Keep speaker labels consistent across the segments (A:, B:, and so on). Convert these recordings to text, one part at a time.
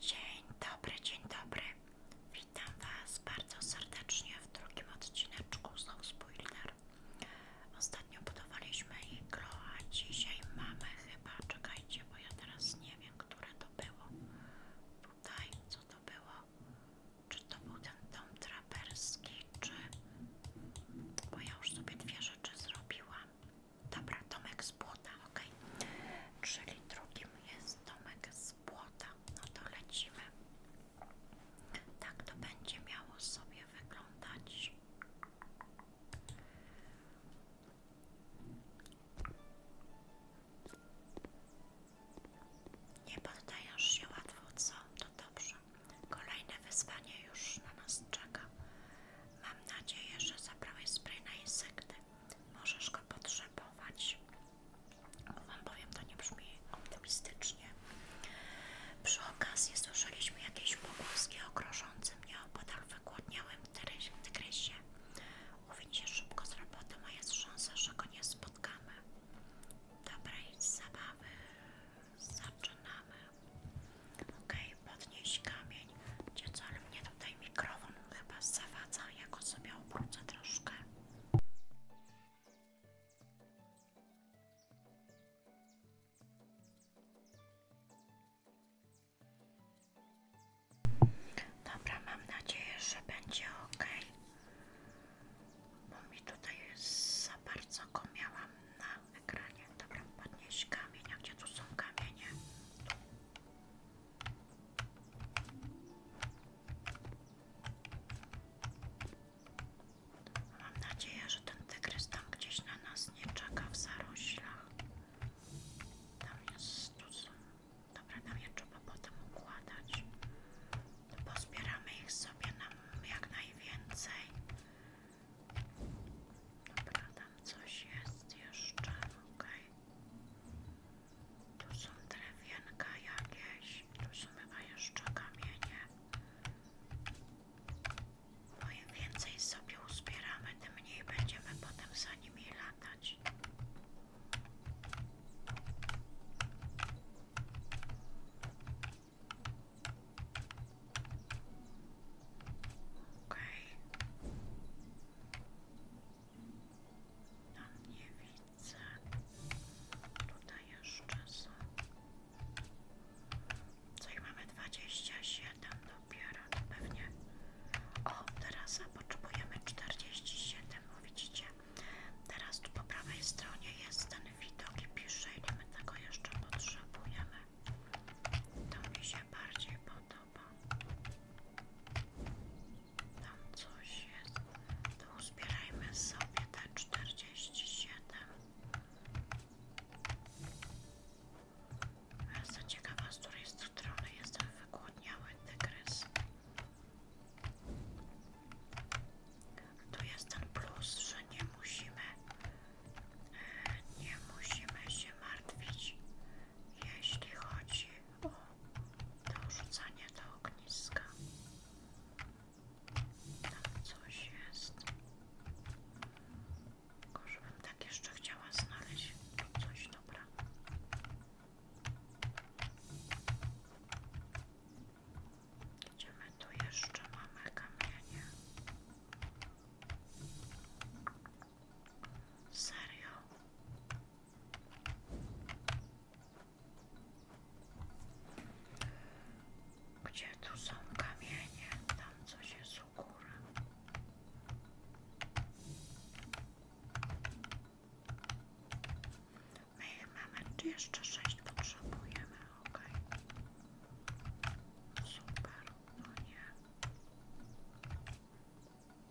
A: Dzień dobry, dzień dobry. Witam Was bardzo serdecznie w drugim odcineczku z No Spoiler. Ostatnio budowaliśmy iglo, a dzisiaj mamy chyba, czekajcie, bo ja teraz nie wiem, które to było. Tutaj, co to było? Czy to był ten dom traperski, czy... Bo ja już sobie dwie rzeczy zrobiłam. Dobra, Tomek z Błota, ok. Czyli drugim jest Tomek z Błota. No to lecimy. Tak to będzie miało sobie wyglądać. Nie poddaję się łatwo, co? To dobrze. Kolejne wyzwanie już na nas czeka. Mam nadzieję, że zabrałeś spray na insekty możesz go potrzebować. Wam powiem, to nie brzmi optymistycznie. Przy okazji słyszeliśmy jakieś pogłoski o grożącym nieopodal wygłodniałym tygrysie. Uwiń szybko z robotą, a jest szansa, że go nie spotkamy. Dobrej zabawy. Zaczynamy. Okej, podnieść kamień. Gdzie ale mnie tutaj mikrofon chyba zawadza, ja go sobie obrócę troszkę. Dobra, mam nadzieję, że będzie ok. Bo mi tutaj za bardzo go na ekranie. Dobra, podnieś kamienia. Gdzie tu są kamienie? Mam nadzieję, że ten tygrys tam gdzieś na nas nie czeka w zaroślach. Tam jest tu są. Dobra, tam je trzeba potem układać. Pozbieramy ich sobie nam jak najwięcej. Dobra, tam coś jest jeszcze. ok. Tu są drewienka jakieś, tu są chyba jeszcze kamienie. Bo no im więcej sobie uzbieramy, tym mniej będziemy potem za nimi latać. Okej. Okay. No nie widzę. Tutaj jeszcze są. Coś mamy 27 dopiero, to pewnie. O, teraz potrzebujemy 47, bo widzicie. Teraz tu po prawej stronie jest ten widok i pisze, ile my tego jeszcze potrzebujemy. To mi się bardziej podoba podoba. Tam coś jest. To uzbierajmy sobie te 47. Jestem ciekawa, z której strony jest ten wygłodniały tygrys. Tu jest ten plus, że nie musimy e, nie musimy się martwić jeśli chodzi o dorzucanie do ogniska. Tam coś jest. Tylko żebym tak jeszcze chciała znaleźć coś dobra. Gdzie my tu jeszcze mamy kamienie? Serio? Gdzie tu są kamienie? Tam coś jest u góry. My mamy, jeszcze sześć potrzebujemy? Ok. Super, no nie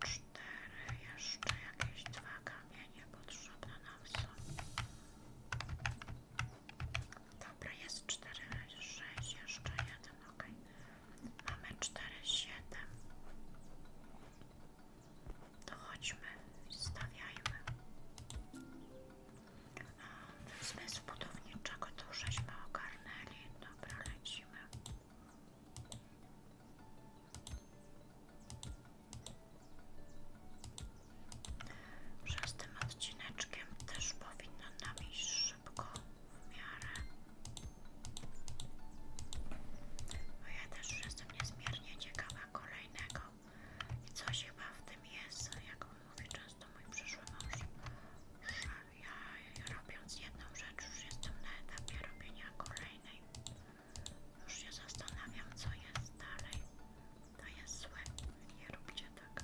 A: cztery, jeszcze jakieś dwa kamienie potrzebne nam są. Dobra, jest cztery, sześć, jeszcze jeden, ok. Mamy cztery, siedem. To chodźmy, stawiajmy. Zmysł budowniczego to żeśmy ogarnęli. Dobra, lecimy. Że tym odcineczkiem też powinno nam iść szybko w miarę. Bo ja też już jestem niezmiernie ciekawa kolejnego. I coś chyba w tym jest, jak mówi często mój przyszły mąż, ja robiąc jedną rzecz już jestem na etapie robienia kolejnej. Już się zastanawiam co jest dalej. To jest złe. Nie róbcie tak.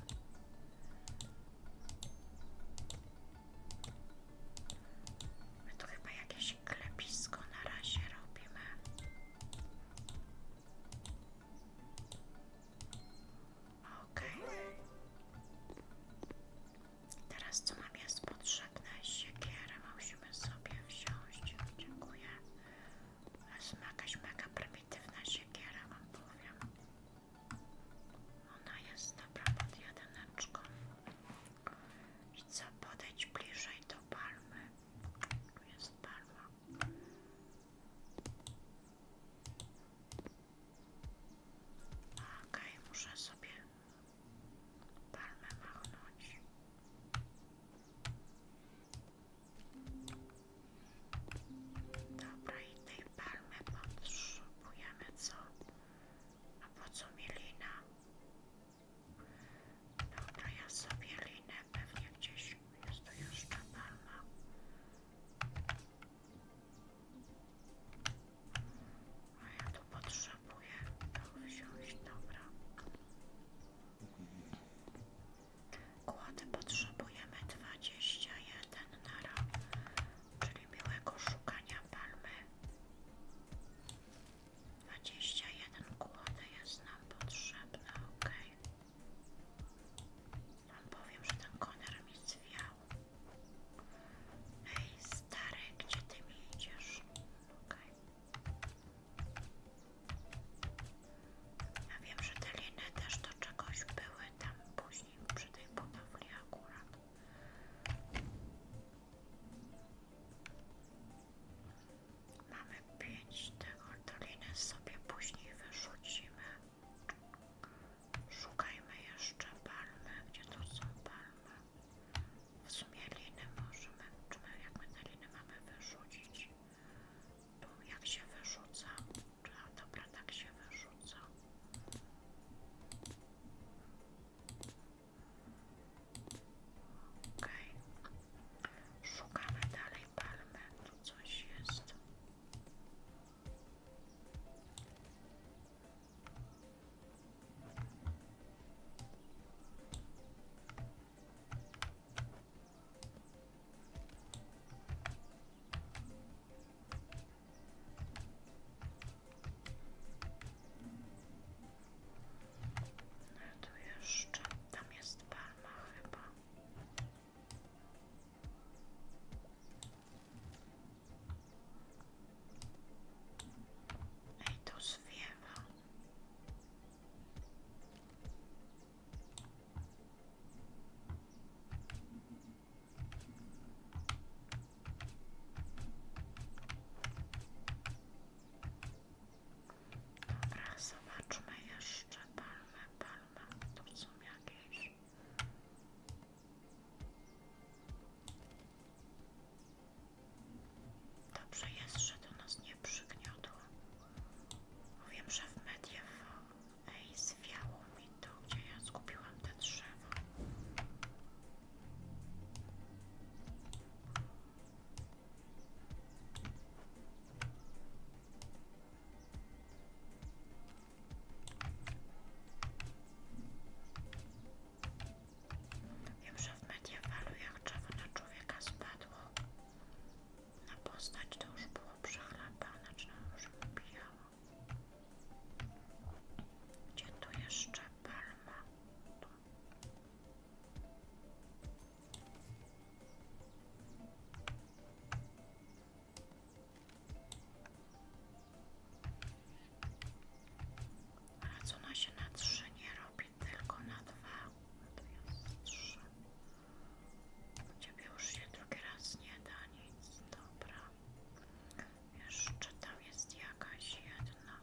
A: To chyba jakieś klepisko na razie robimy. Okej. Teraz co mam jest potrzebne? Siekierę musimy sobie wziąć. Dziękuję. Jest jakaś mega prymitywna siekiera, wam powiem. Ona jest dobra pod jedyneczką. I co, podejść bliżej do palmy. Tu jest palma. Okej, muszę sobie palmę machnąć. Dobra, i tej palmy potrzebujemy co? A po co mi lina? Dobra, ja sobie linę pewnie gdzieś. Jest tu jeszcze palma. A ja tu potrzebuję to wziąć, dobra. Kłody potrzebujemy 21 nara, czyli miłego szukania palmy. 21 kłody jest nam potrzebne, ok. Wam powiem, że ten koner mi zwiał. Ej, stary, gdzie ty mi idziesz? Okej. Ja wiem, że te liny też do czegoś były tam później przy tej budowli akurat. Mamy pięć tego, doliny, sobie później wyrzucimy. Szukajmy jeszcze palmy. Gdzie to są palmy? W sumie linę możemy, czy jak my tę linę mamy wyrzucić? to jak się wyrzuca? A dobra, tak się wyrzuca. OK. Szukamy dalej palmy. Tu coś jest. No tu jeszcze, tam jest palma chyba. Ej, to zwiewa. Dobra, zobaczmy jeszcze palmę, palmę, tu są jakieś Dobrze jest, że do nas nie przygniotło. Wiem, że w mediach ej, zwiało mi to, gdzie ja skupiłam te drzewo. Wiem, że w mediewalujach czewo na człowieka spadło. Na postać to już było przechlapane, czy już upijało. Gdzie tu jeszcze palma? A co ona się na trzy nie robi, tylko na dwa? To jest trzy. U już się drugi raz nie da nic. Dobra. Jeszcze tam jest jakaś jedna.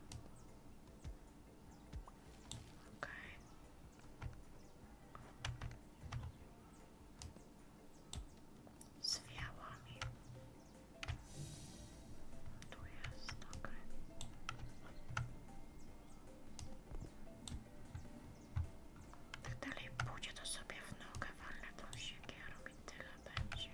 A: Okej. Okay z fiałami. Tu jest, ok. Jak dalej pójdzie, to sobie w nogę walnę tą siekierą i tyle będzie.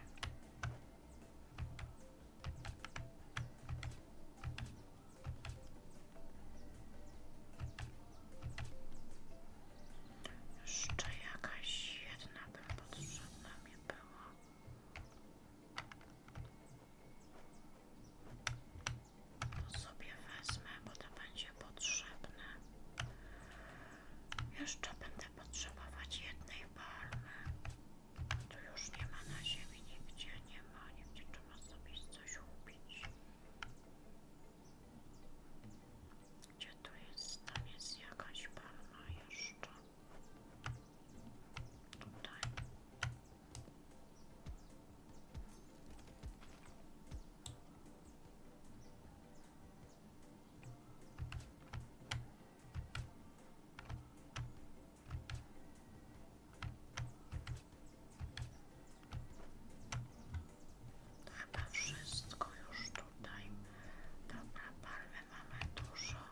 A: Jeszcze jakaś jedna bym potrzebna mi była. To sobie wezmę, bo to będzie potrzebne. Jeszcze będę potrzebować jednej palmy. Tu już nie ma na ziemi, nigdzie nie ma, nigdzie trzeba sobie coś ubić. Gdzie tu jest? Tam jest jakaś palma jeszcze chyba wszystko już tutaj. Dobra, palmy mamy dużo.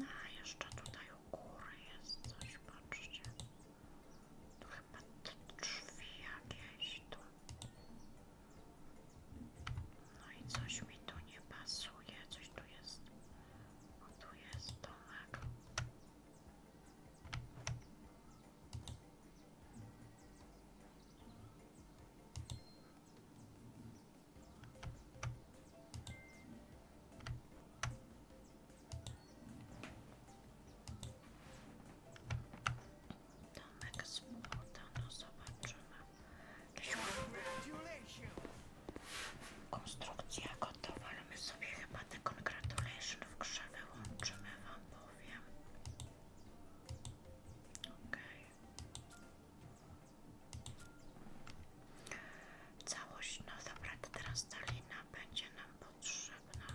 A: A jeszcze tutaj u góry jest coś, patrzcie. Tu chyba te drzwi jakieś tu. No i coś mi tu nie pasuje, coś tu jest. O, jest domek. Domek z płota, no zobaczymy. Konstrukcja gotowa, my sobie chyba te Congratulations w grze wyłączymy, wam powiem. Całość, no dobra, teraz ta będzie nam potrzebna.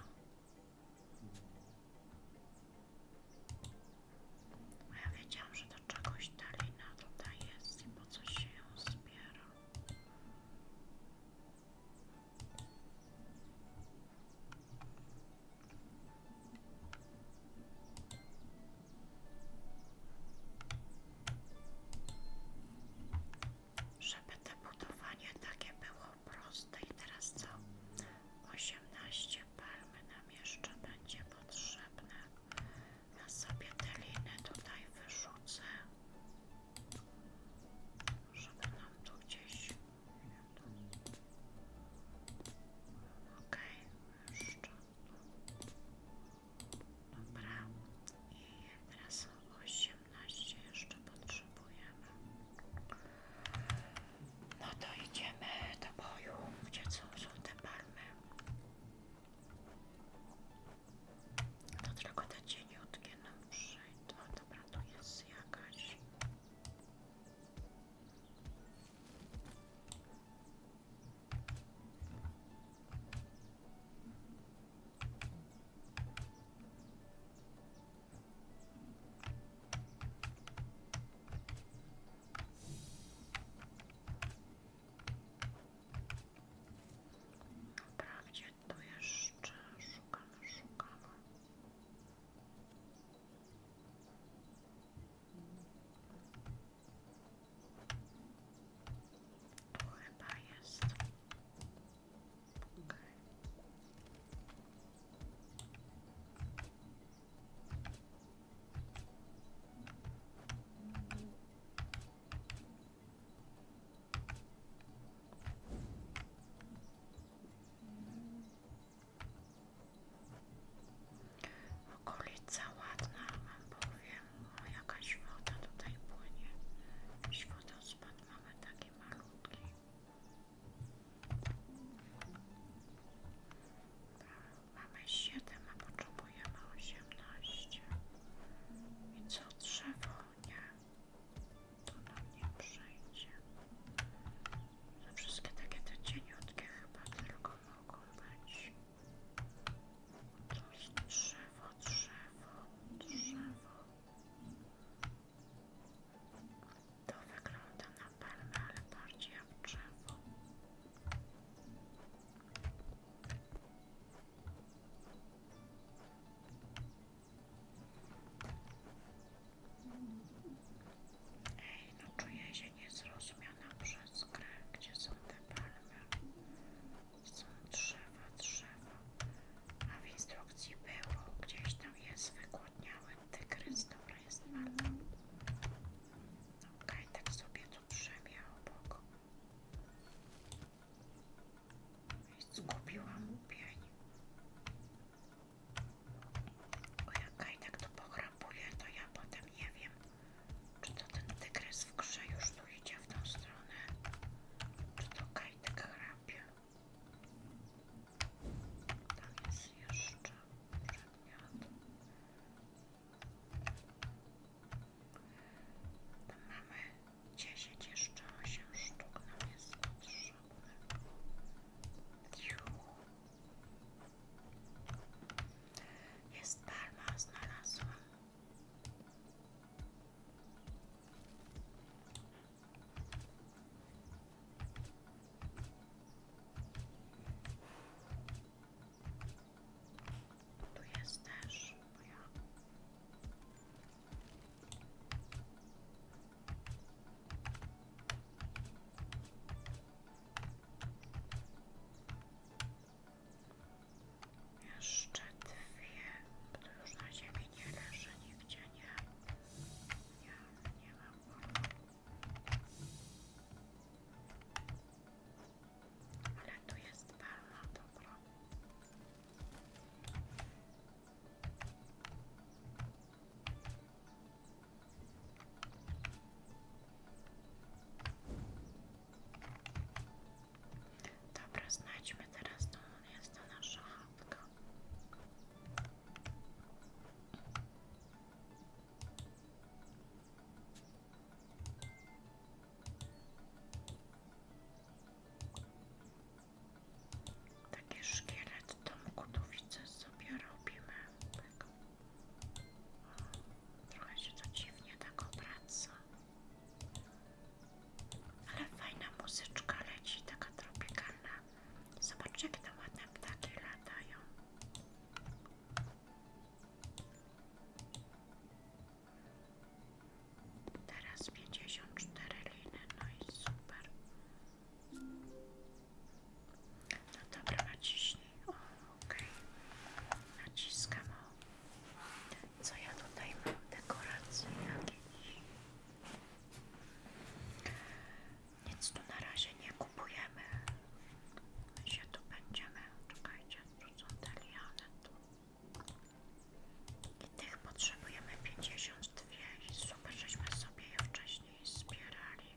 A: Bo ja wiedziałam, że do czegoś ta tutaj jest i po co się ją zbiera. Żeby to budowanie takie było proste i teraz co? 18 palmy nam jeszcze będzie potrzebne. na sobie te liny tutaj wyrzucę, żeby nam tu gdzieś... Okej, okay, jeszcze... Dobra, i teraz 18 jeszcze potrzebujemy. No to idziemy do boju, gdzie są te palmy. To tylko te cieniutkie nam przyjdą. Dobra, tu jest jakaś. Wprawdzie tu jeszcze szukamy, szukamy. Or I'm biased. Okay. Okay. Okolica ładna, wam powiem. O, jakaś woda tutaj płynie. Jakiś wodospad mamy taki malutki. Mamy 7, a potrzebujemy 18. I co trzeba, Nie. To nam nie przejdzie. To wszystkie takie te cieniutkie chyba tylko mogą być. Drzewo, drzewo, drzewo. To wygląda na palmę, ale bardziej jak drzewo. Ej, no czuję razie niezrozumiana przez grę, gdzie są te palmy, są drzewa, drzewa, a w instrukcji było, gdzieś tam jest wygłodniały tygrys, dobra jest palma. Okej, okay, tak sobie tu przemię obok. I zgubiłam pień. O jak Kajtek to pochrapuje, to ja potem nie wiem, czy to ten tygrys w grze już tu idzie w tą stronę? Czy to kajtek chrapie? Tam jest jeszcze przedmiot. Tam mamy 10 jeszcze 8 sztuk nam jest potrzebne. Juhu. Jest palma, znalazłam. Tu jest też jeszcze dwie, bo to już na ziemi nie leży nigdzie, nie? Ja nie mam Ale tu jest palma, dobra. Dobra, znajdźmy teraz to jest ta nasza chatka. Taki szkielet domku tu widzę sobie robimy. Trochę się to dziwnie tak obraca. Ale fajna muzyczka leci, taka tropikalna. Zobaczcie, jak tam ładne ptaki latają. Teraz 54 liny, no i super. No dobra, na o, ok, naciskam o. Co ja tutaj mam? Dekoracje jakieś. Nic tu na razie nie kupujemy. My się tu będziemy. Czekajcie, tu są te tu. I tych potrzebujemy 52 i super, żeśmy sobie je wcześniej zbierali.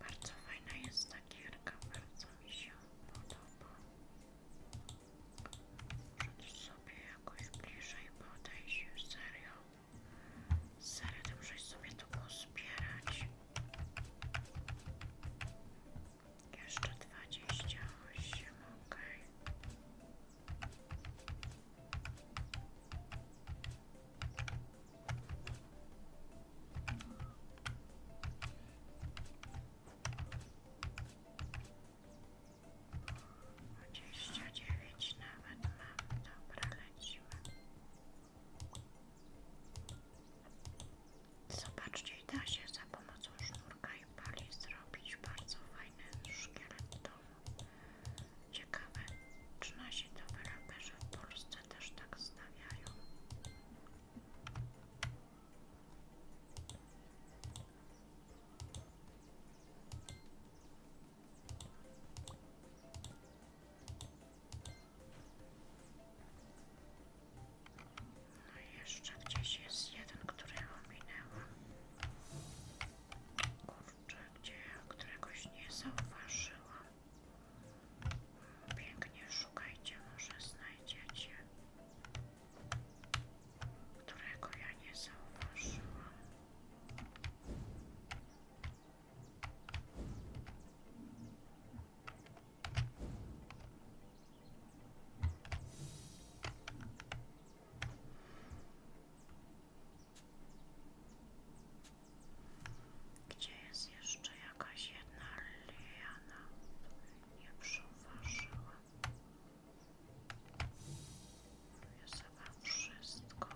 A: Bardzo fajna jest ta gierka, bardzo mi się podoba. Przed sobie jakoś bliżej się serio. Serio, ty musisz sobie to pozbierać. Jeszcze 28, ok. Dwadzieścia dziewięć nawet mam. Dobra, lecimy. Zobaczcie, da się za pomocą sznurka i pali zrobić bardzo fajne szkielet w domu. Ciekawe, czy nasi deweloperzy w Polsce też tak stawiają. No jeszcze gdzieś jest jeden, którego minęłam. Kurczę, gdzie któregoś nie zauważyłam. Pięknie szukajcie, może znajdziecie. Którego ja nie zauważyłam. Gdzie jest jeszcze jakaś jedna liana? Nie przyuważyłam. Tu jest chyba wszystko.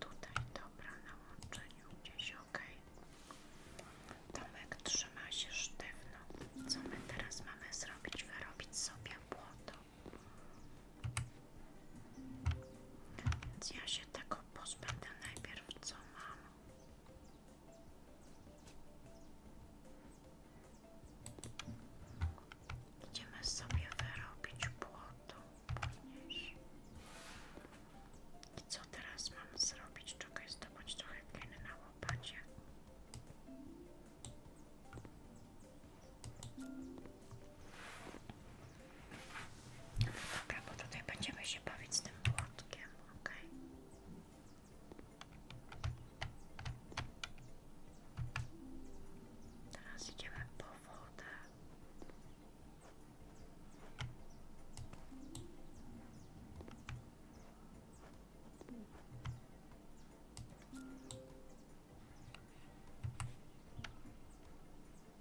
A: Tutaj dobra na łączeniu gdzieś ok. Tomek trzyma się sztywno. Co my teraz mamy zrobić? Wyrobić sobie błoto. Więc ja się tego pozbędę najpierw co Idziemy sobie wyrobić błoto później. I co teraz mam zrobić? Czekaj, zdobyć trochę gliny na łopacie. Dobra, bo tutaj będziemy się bawić z tym płotkiem, Teraz idziemy po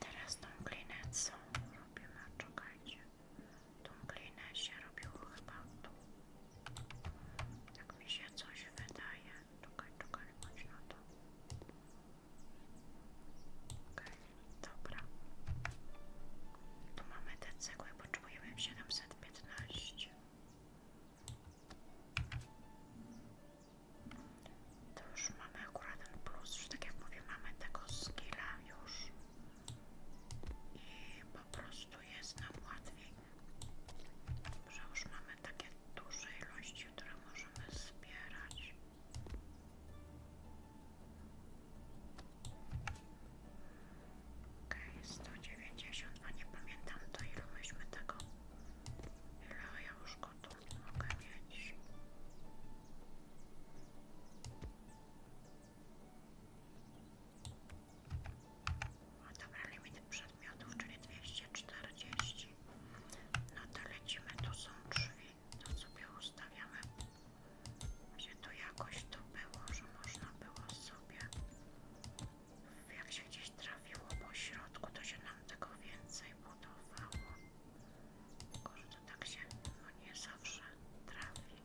A: Teraz tą glinę co robimy? No, czekajcie. Tą glinę się robiło chyba tu. Tak mi się coś wydaje. Czekaj, czekaj, chodź na to. Okej, okay, dobra. Tu mamy te cegły, potrzebujemy 715. To już mamy akurat ten plus, że tak jak mówię, mamy tego skilla już i po prostu jest nam łatwiej, że już mamy takie duże ilości, które możemy zbierać. Okej, 190, 192, nie pamiętam to ilu myśmy tego, ile ja już go tu oganiać. O dobra, limit przedmiotów, czyli 240. No to lecimy, tu są drzwi, to sobie ustawiamy. Gdzie tu jakoś to było, że można było sobie, jak się gdzieś trafiło po środku, to się nam tego więcej budowało. Tylko, tak się no nie zawsze trafi.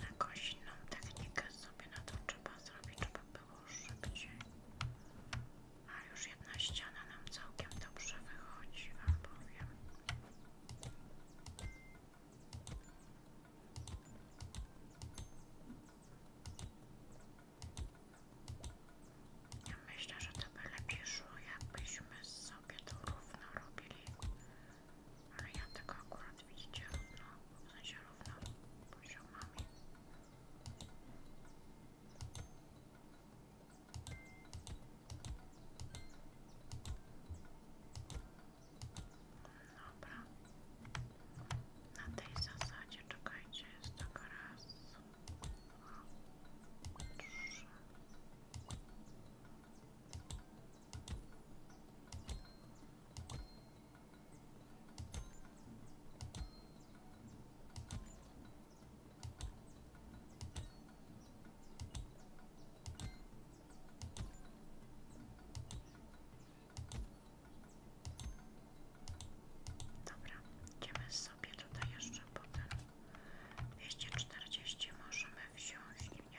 A: na inną technikę sobie na to trzeba zrobić, żeby było szybciej. A już jedna ściana nam całkiem dobrze wychodzi, wam powiem. Ja myślę, że to by lepiej szło, jakbyśmy sobie to równo robili ale ja tego akurat widzicie równo, w sensie równo poziomami. Dobra, na tej zasadzie czekajcie, jest taka raz, Dobra, idziemy sobie tutaj jeszcze po dwieście czterdzieści, możemy wziąć, nie?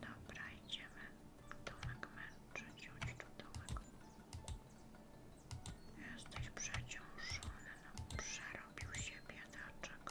A: Dobra, idziemy. Domek męczy, ciąć tu domek. Jesteś przeciążony, no, przerobił się biedaczek.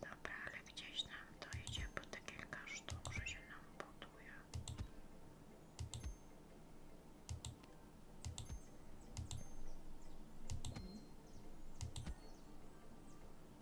A: Dobra, ale gdzieś nam to idzie po te kilka nam buduje.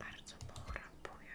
A: Bardzo pochrapuję.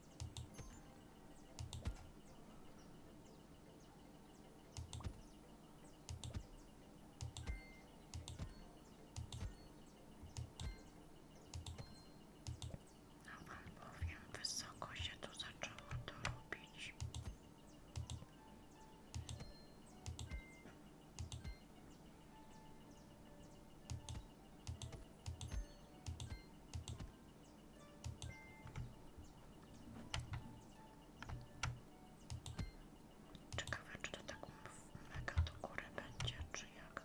A: No wam powiem, wysoko się tu zaczęło to robić. Ciekawe, czy to tak mega do góry będzie, czy jak?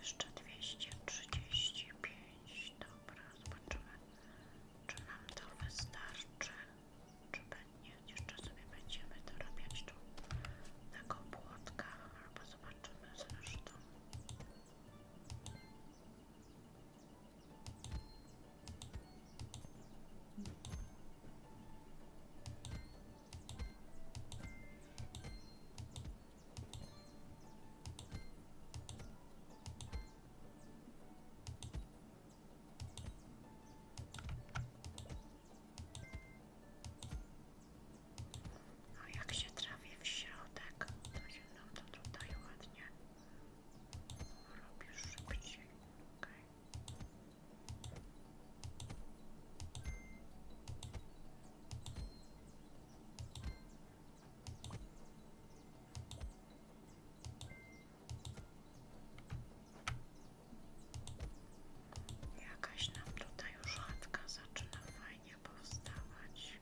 A: Jeszcze dwieście trzydzieści pięć. Dobra, zobaczymy. Czy nam to wystarczy? Czy nie? Jeszcze sobie będziemy dorabiać tu taką płotkę, albo zobaczymy zresztą. A jak się trafię w środek, to się nam to tutaj ładnie robi Jakaś nam tutaj już chatka zaczyna fajnie powstawać.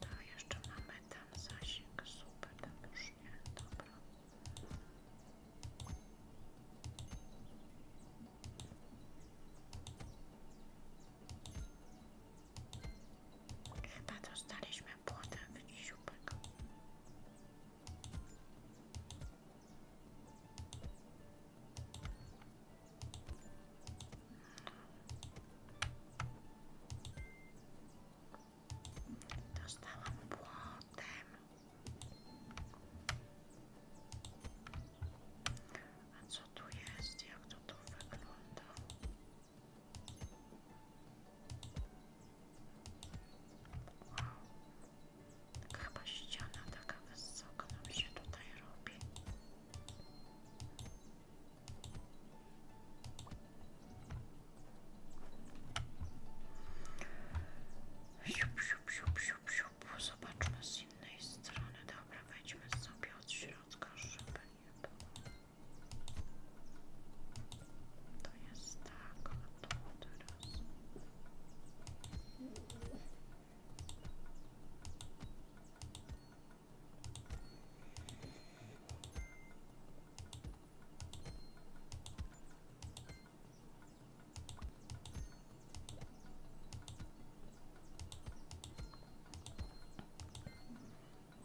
A: To jeszcze mamy tam zasięg, super, tam już nie, dobra. Chyba dostaliśmy płotek dziupek. Dostałam płotem. A co tu jest? Jak to tu Wow. Tak chyba ściana taka wysoka nam się tutaj robi. Siup, siup, siup, Siup, siup. z innej strony. Dobra, wejdźmy sobie od środka, żeby nie było. To jest tak,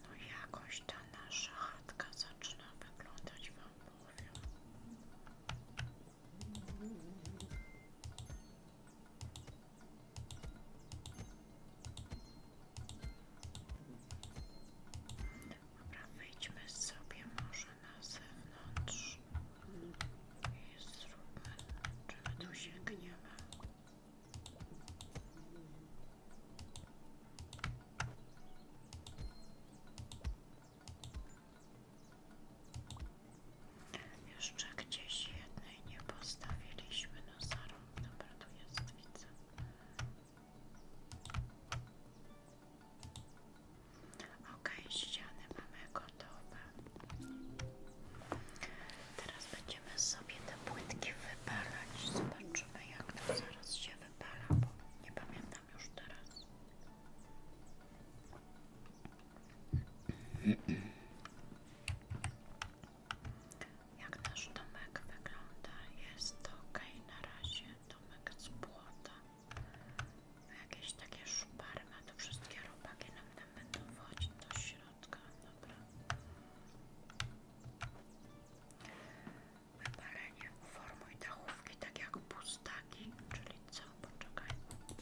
A: no jakoś ta nasza chatka zaczyna wyglądać wam powiem. Dobra, wyjdźmy sobie może na zewnątrz i zróbmy, czy tu sięgniemy. Jeszcze gdzieś jednej nie postawiliśmy, no zarąb, dobra, tu Ok, ściany mamy gotowe. Teraz będziemy sobie te płytki wypalać. Zobaczymy, jak to zaraz się wypala, bo nie pamiętam już teraz. Jak nasz domek wygląda? Jest ok na razie. Domek z płota jakieś takie szpary ma, to wszystkie robaki nam będą wchodzić do środka, dobra. Wypalenie, uformuj dachówki tak jak pustaki, czyli co? Poczekaj. Tu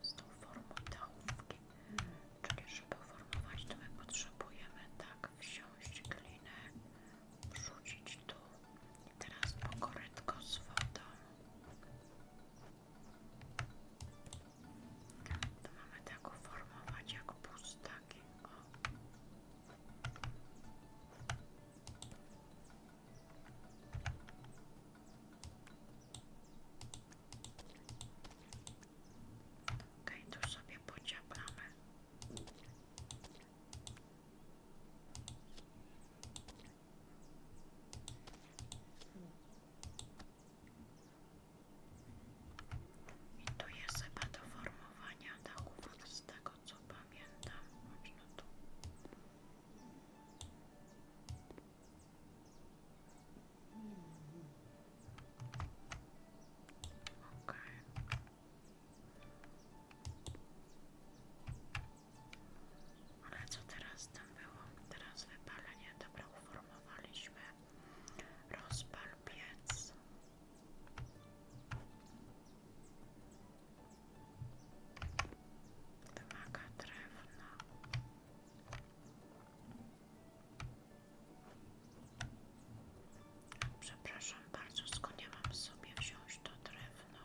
A: jest to uformuj dachówki, czyli żeby uformować to my potrzebujemy tak wsiąść klinę wrzucić tu i teraz pokorytko z wodą. To mamy tak uformować jak pustaki. O. sobie pociaplamy. To tu jest chyba do formowania z tego co pamiętam. Można tu. Ale co teraz tam było? Teraz wypalenie. Dobra, uformowaliśmy. Rozpal piec. Wymaga drewna. Przepraszam bardzo, skończyłam sobie wziąć to drewno?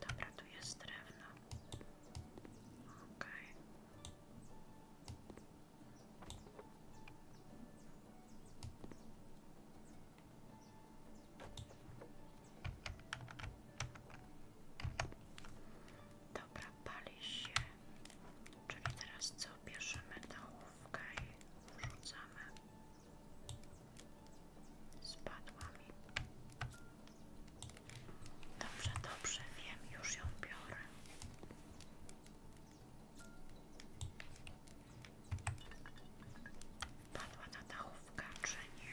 A: Dobra, tu jest drewno. Okej. Dobra, pali się. Czyli teraz co? Bierzemy tą łówkę i wrzucamy. Spadła mi. Dobrze, dobrze, wiem, już ją biorę. Padła ta dachówka, czy nie?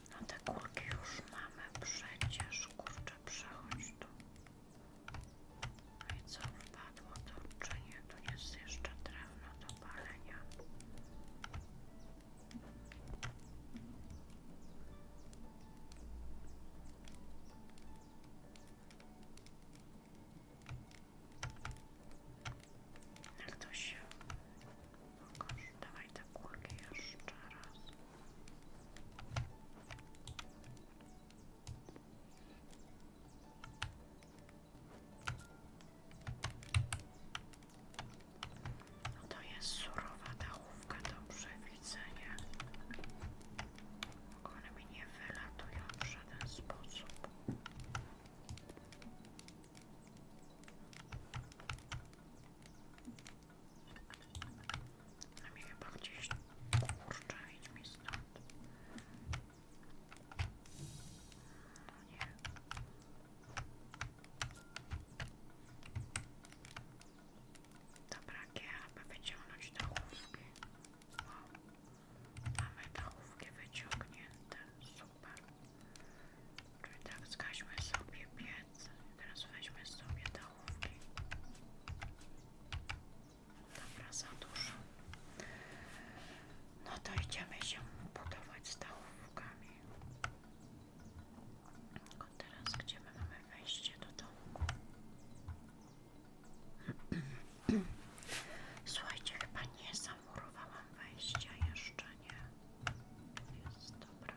A: No te kulki już mamy przecież, kurczę, przechodź tu. No i co wpadło to, czy Tu jest jeszcze drewno do palenia. Jak Pokaż, dawaj no to jest surowa dałówka do przewidzenia. One mi nie wylatują w żaden sposób. A mnie chyba gdzieś kurczę, idź mi stąd. No nie. Dobra, aby wyciągnąć dachówki. O, mamy dachówki wyciągnięte, super. Dobra, tak, zgaśmy sobie piec. Teraz weźmy sobie dachówki, Dobra, za dużo. No to idziemy się budować z dałówkami. teraz, gdzie my mamy wejście do dołku? Słuchajcie, chyba nie zamurowałam wejścia jeszcze, nie? Jest, dobra.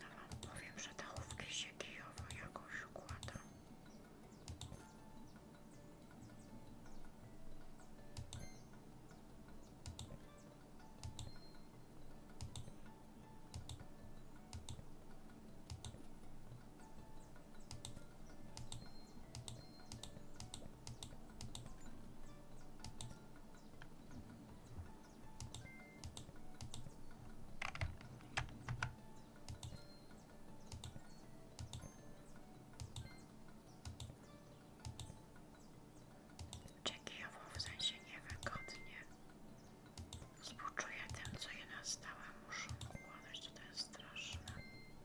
A: No, powiem, że dałówki się kijowo jakoś układa. Czekiowo w sensie niewygodnie. Współczuję tym, co je nastałe muszą układać, to jest straszne.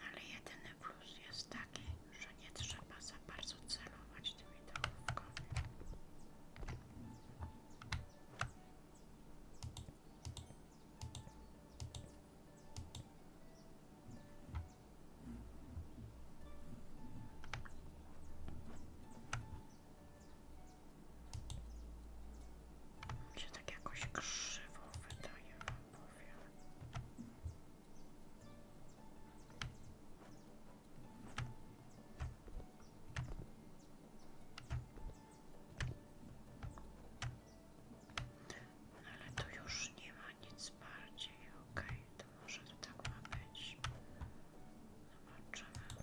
A: Ale jedyny plus jest taki, że nie trzeba za bardzo celować się tak jakoś krzywo wydaje, wam powiem. ale tu już nie ma nic bardziej, okej, to może tak ma być. Zobaczymy.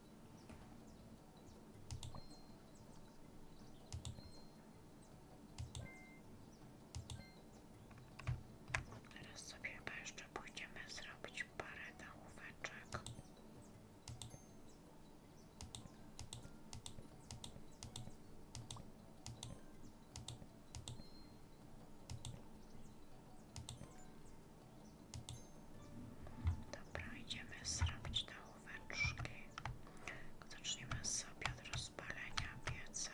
A: Teraz sobie jeszcze pójdziemy zrobić parę nałóweczek. Dobra, idziemy zrobić te łóweczki. Zaczniemy sobie od rozpalenia pieca.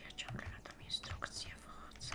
A: Ja ciągle na tą instrukcję wchodzę.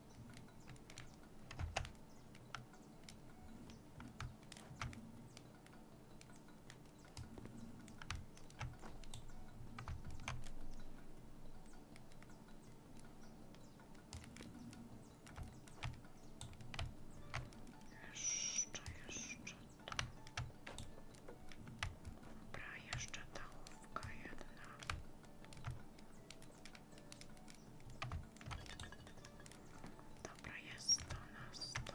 A: Jeszcze, jeszcze to. Dobra, jeszcze ta łówka jedna. Dobra, jest to na sto.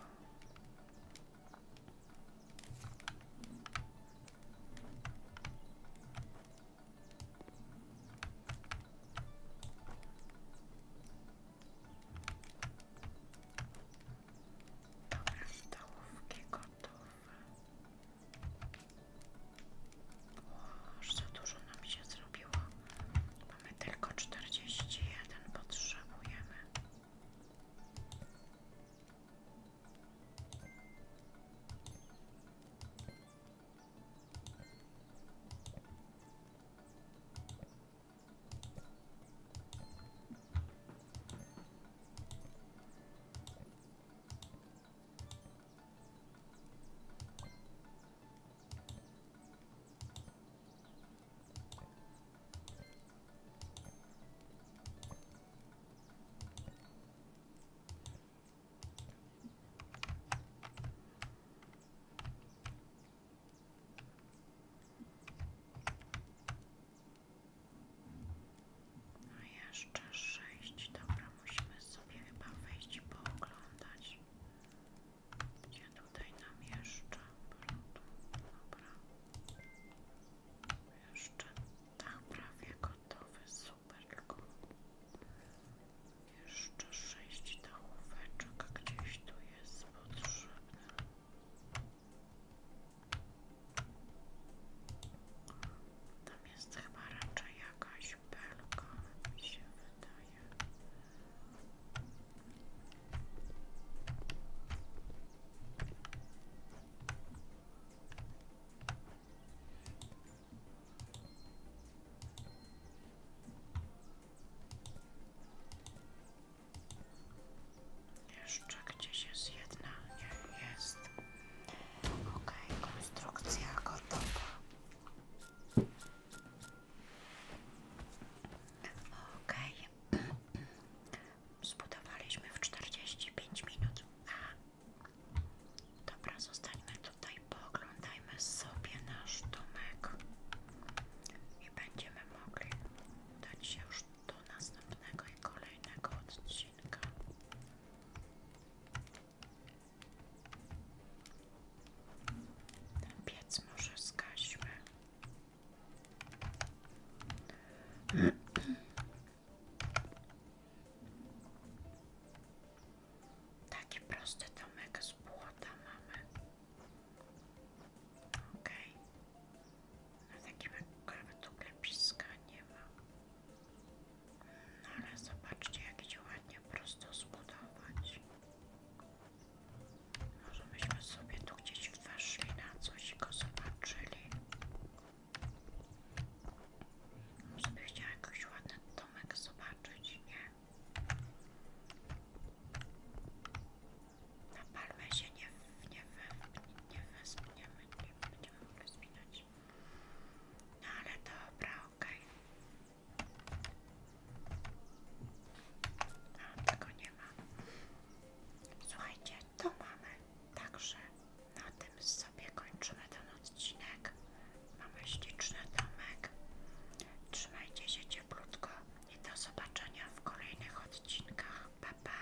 A: Dobra, stołówki gotowe. O, za dużo nam się zrobiło. Mamy tylko czterdzieści 41, potrzebujemy. No jeszcze sześć, dobra, musimy sobie chyba wejść i pooglądać. Gdzie tutaj nam jeszcze Dobra. Jeszcze tak prawie gotowy, super, tylko jeszcze sześć dachóweczek gdzieś tu jest potrzebne. Tam jest chyba raczej jakaś belka, mi się wydaje. Jeszcze gdzieś jest jedna, nie jest. Okej, konstrukcja gotowa. OK, Okay. Zbudowaliśmy w 45 minut. A. Dobra, zostańmy tutaj, poglądajmy sobie nasz domek i będziemy mogli dać się do następnego i kolejnego odcinka. Ten piec może zgaśmy. Taki prosty domek z błota mamy. Okay. Na takim akurat nie ma. No ale zobaczcie, jak się ładnie prosto zbudować. Może byśmy sobie tu gdzieś weszli na coś i go zobaczyli. Może by chciała jakiś ładny domek zobaczyć, nie? Na palmę się nie, nie, nie, nie wespniemy, nie będziemy mogli spinać. No ale dobra, okej. Okay. A, tego nie ma. Słuchajcie, to mamy. Także na tym sobie kończymy ten odcinek. Mamy śliczny domek. Trzymajcie się cieplutko i do zobaczenia w kolejnych odcinkach. Pa, pa.